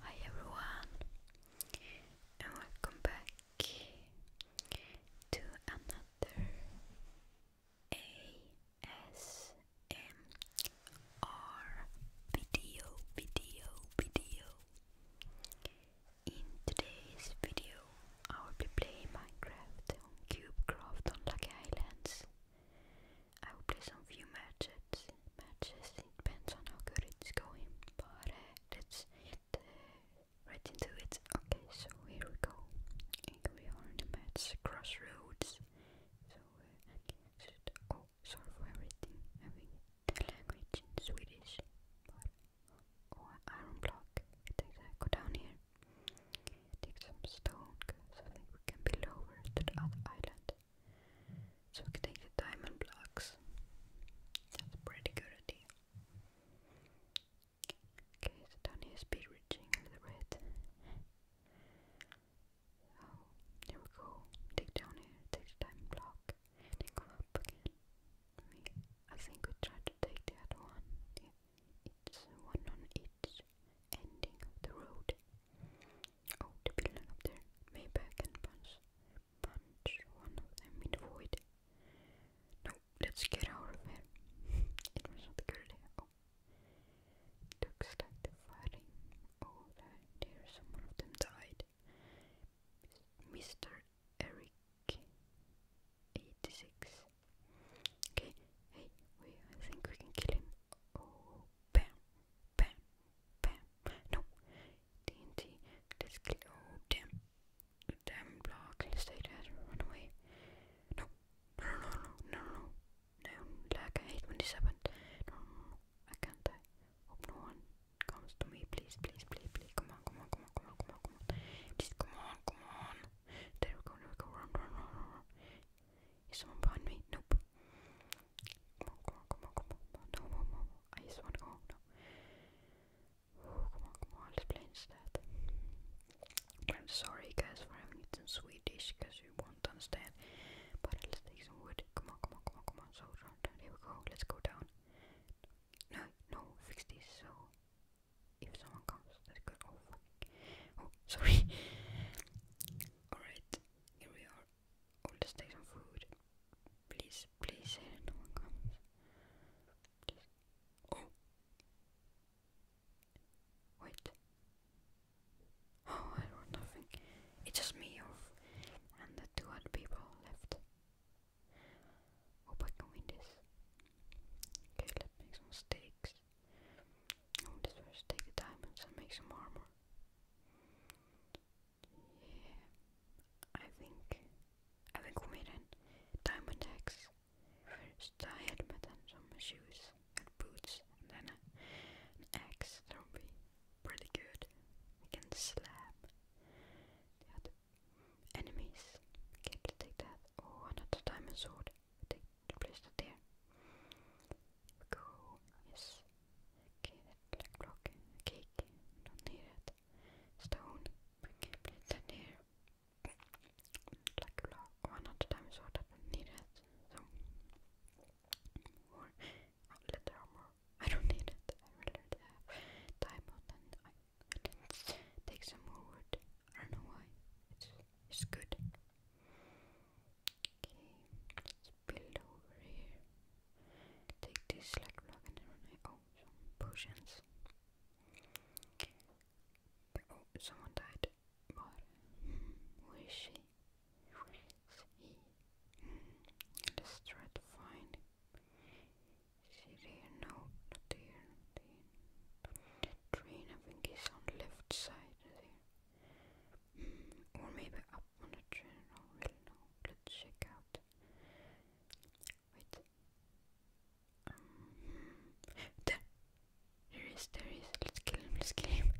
Hi everyone, and welcome back to another ASMR video, video, video. In today's video, I will be playing Minecraft on CubeCraft on Lucky Islands. I will play some few matches. Matches depends on how good it's going, but uh, let's get uh, right into it. Okay, so here we go. Here we are in the match crossroads. So uh, oh, sorry for everything. Having the language in Swedish, oh, iron block. go down here. Take some stone so that we can be lowered to the other island. So we can take the diamond blocks. That's pretty good idea. Okay, so down here is speed reaching the red. So here we go. Take down here, take the diamond block, then come up again. I think we tried to take the other one. It's one on each ending of the road. Oh, the building up there. Maybe I can punch, punch one of them in the void. No, let's get out of here. it was not good. Oh. Looks like the fighting oh, there. Someone of them died. Mr. Eric, 86. Okay, hey, I think we can kill him. Oh, bam, bam, bam. No, TNT, let's kill. Oh, damn. Damn block, let's run away. No, no, no, no, no, no, no. like, I when this happens. No, I can't die. one comes to me, please, please, please, please. Come on, come on, come on, come on, come on, come on. Just come on, come on. There we go, there we go, run, run, run, run, run. Is someone behind me? Nope. Come on, come on, come on, come on, come on. No, no, no, no. I just want to go home now. Oh, come on, come on, let's play instead. I'm sorry guys for having it in Swedish, because you won't understand. But let's take some wood. Come on, come on, come on, come on. So, run, run. Here we go, let's go down. No, no, fix this, so if someone comes, that's good. Oh, oh, sorry. Alright, here we are. let's take some food. Please, please no one comes. Oh! Wait. Oh, I wrote nothing. It's just me And the two other people left. Hope I can win this. Okay, let's make some steaks. I'm just going to take the diamonds and make some armor. Yeah, I think I think we made a diamond axe. First a helmet some shoes and boots, and then an axe. That would be pretty good. We can slam the enemies. Okay, to take that. Oh, another diamond sword the, the place that there. Go yes. Okay, that like block, cake, don't need it. Stone, okay, place that there. Like block one at a time so that I don't need it. So more oh, leather armor. I don't need it. I really don't have diamond and I didn't take some more wood. I don't know why. It's it's good. Okay, let's build over here. Take this like block oh some potions. Oh, someone died. But where is she? Where is he? Let's try to find. Is he there? No, not there train. Train, I think, is on left side hmm, or maybe up on the train, I will know. Let's check out. Wait. Um, hmm. there! There is, there is. Let's kill him, let's kill him.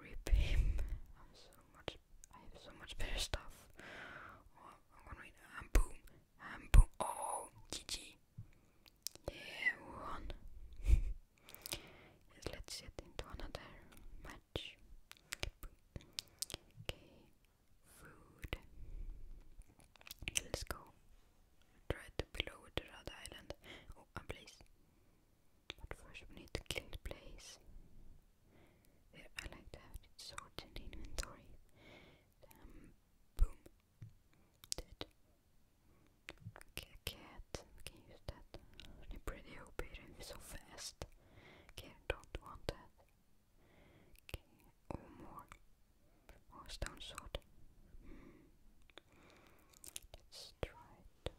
Rip him. I'm so much, I have so much better stuff. Oh, I'm gonna win. And boom. And boom. Oh, GG. Yeah, one. let's get into another match. Okay, food. Let's go. Try to below the Red Island. Oh, a place. But first we need to kill the place. There, I like to have it sorted in inventory. boom, Dead. Okay, cat. Can you use that? They're pretty OP, they're so fast. Okay, don't want that. Okay, or more. Or stone sword. Mm. Let's try to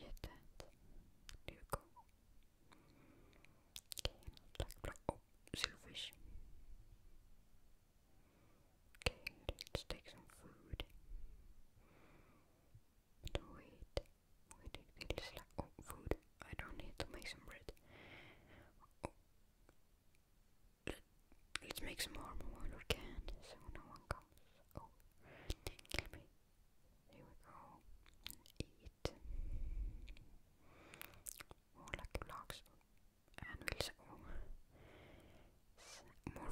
get that. There you go. Okay, not like oh, silverfish. Okay, let's take some food. But wait, wait, it is like oh, food. I don't need to make some bread. Oh. Let, us make some warm water can, so no one comes. Oh, kill we go. Eat. More like blocks and also more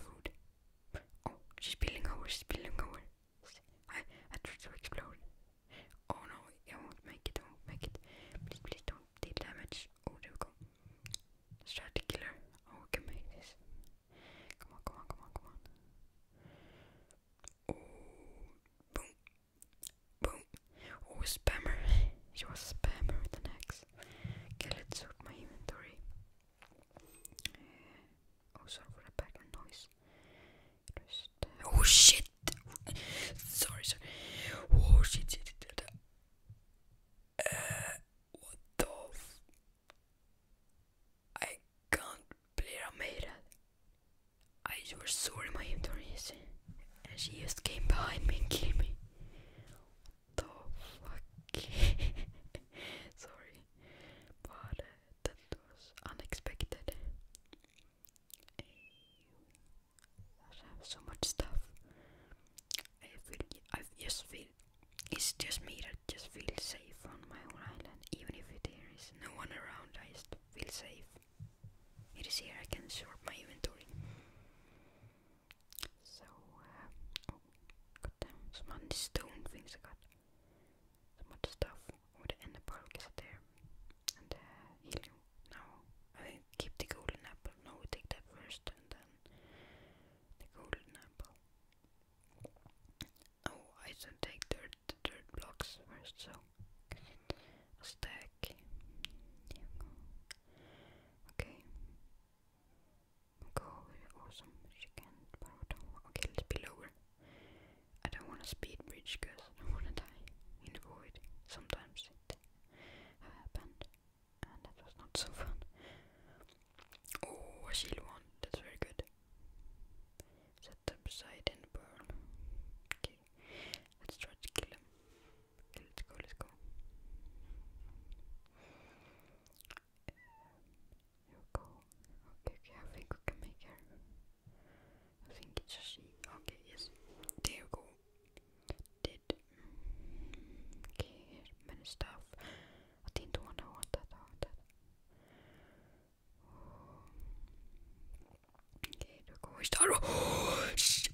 food. Oh, she's spilling over, she's spilling over. I, I tried to explode. Oh no, I won't make it, I won't make it. Please, please don't deal damage. Oh, there we go. Let's try to kill her. Oh, we can make this. Come on, come on, come on, come on. Oh, boom. Boom. Oh, spammer. she was a spammer with an axe. Okay, let's sort my inventory. Eh, oh, sorry for the background noise. Uh, oh shit! sorry, sorry. Oh shit, uh, what the f I can't believe I made I was sorry my inventory And she just came behind me and killed me the fuck? Sorry, but uh, that was unexpected. I have so much stuff. I feel, I just feel, it's just me that just feels safe on my own island. Even if it, no one around, I just feel safe. It is here I can sort my inventory. So, uh, oh, on the stone things I got. So much stuff. Oh, the ender pearl is there. And the uh, I keep the golden apple. No, take that first and then the golden apple. Oh, I should take dirt, dirt blocks first, so stack. Okay go or chicken Okay, let's be lower. I don't want to speed bridge because I want to die in the void. Sometimes it happened, and that was not so fun. Oh, a shield one. That's very good. Set up and burn. Okay, let's try to kill him. Okay, let's go, let's go. here we go. Okay, okay, I think we can make her. I think it's a she. Okay, yes. There we go. Did. Okay, here's many stuff. I didn't want to want that. I that. Okay, there we Is that? Oh,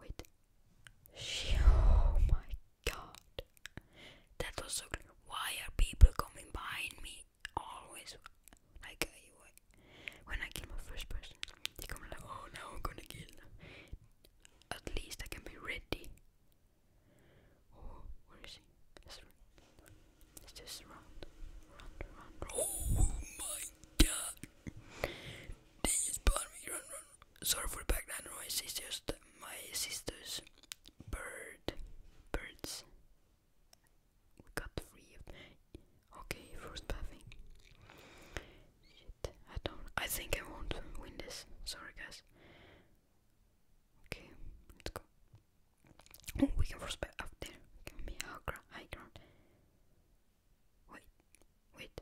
Wait. She, oh my god. That was so clear. Why are people coming behind me? Always. Like, when I kill my first person, they come like, oh, now I'm gonna kill them. At least I can be ready. Oh, where is he? Let's just Run, run, run. Oh my god. Please pardon me, run, run. Sorry for the background noise, it's just my sister's bird. Birds. We got three Okay, first puffing. Shit, I don't. I think I won't win this. Sorry, guys. Okay, let's go. Oh, we can force back up there. Give me high ground. High ground. Wait, wait.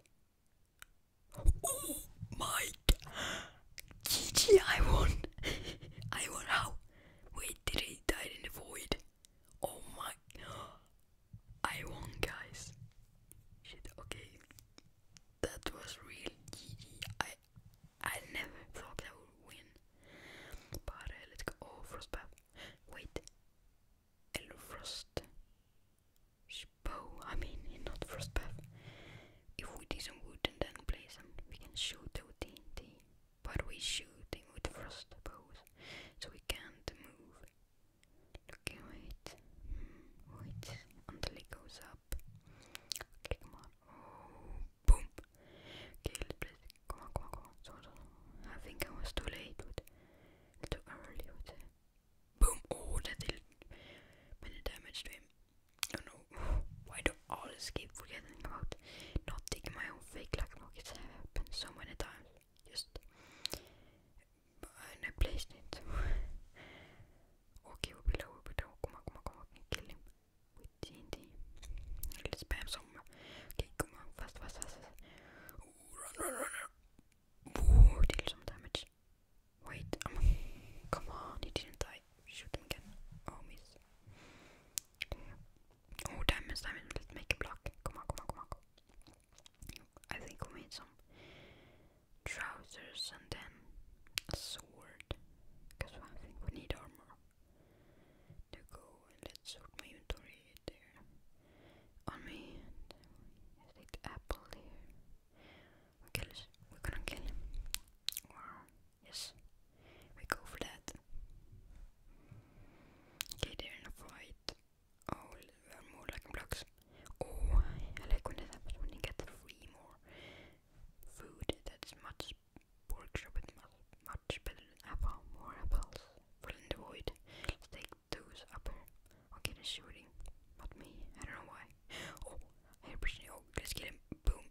Oh my god! GG I won I won how? Wait did he die in the void? Oh my I won guys Shit okay That was real GG I I never thought I would win But uh, let's go Oh Frostbath Wait Frost bow. I mean, not Frostpath. If we do some wood and then play some, we can shoot with TNT. But we shooting with frost bows, so we can't move. Okay, wait, hmm, wait until goes up. Okay, come oh, boom. Okay, let's play. Come on, come on, come on. So, so. I think I was too late with, too early with. The, Boom! Oh, that did minor damage to him. Oh no, why do I always keep forgetting about not taking my own fake luck rockets? happened so many times. Just. And I placed it. okay, we'll be low, we'll be low. Come on, come on, come on, kill him with TNT. Let's spam some. Okay, come on, fast, fast, fast. run, run, run. Ooh, deal some damage. Wait, um, come on, he didn't die. Shoot him again. Oh, miss. Oh, damage, damage. Let's make a block. Come on, come on, come on. I think we need some trousers and then a sword. Because I think we need armor to go. let's sort inventory there on me and apple here. We kill us. We're gonna kill him. Yes. We go for that. Okay, they in a fight. Oh, there are more like blocks. Oh, I like when that happens when you get three more food. That's much pork chop much, much better apple. More apples. Fill the void. Let's take Two's up here. Okay, they shooting. Not me. I don't know why. Oh, hey, Brittany. Oh, let's get him. Boom.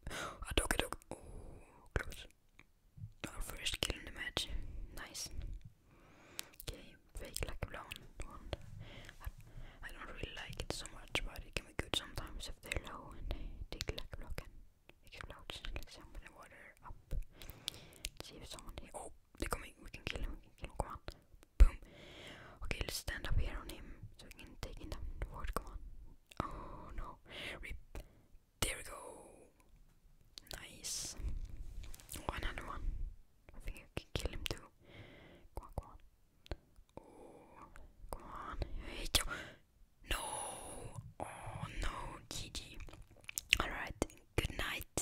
I took it. Oh, close. Our first kill in the match. Nice. Okay, fake like a I, don't really like it so much, but it can be good sometimes if they're low and they take like block and explodes like some of the water up. see if someone oh, they coming. We can kill him. kill him. Come on. Boom. Okay, let's stand up here on him so we can take him down. Ward, come on. Oh no. There we go. Nice. Oh, another one. I think I can kill him too. Come on, come on. Oh, no. Oh no. GG. Alright. Good night.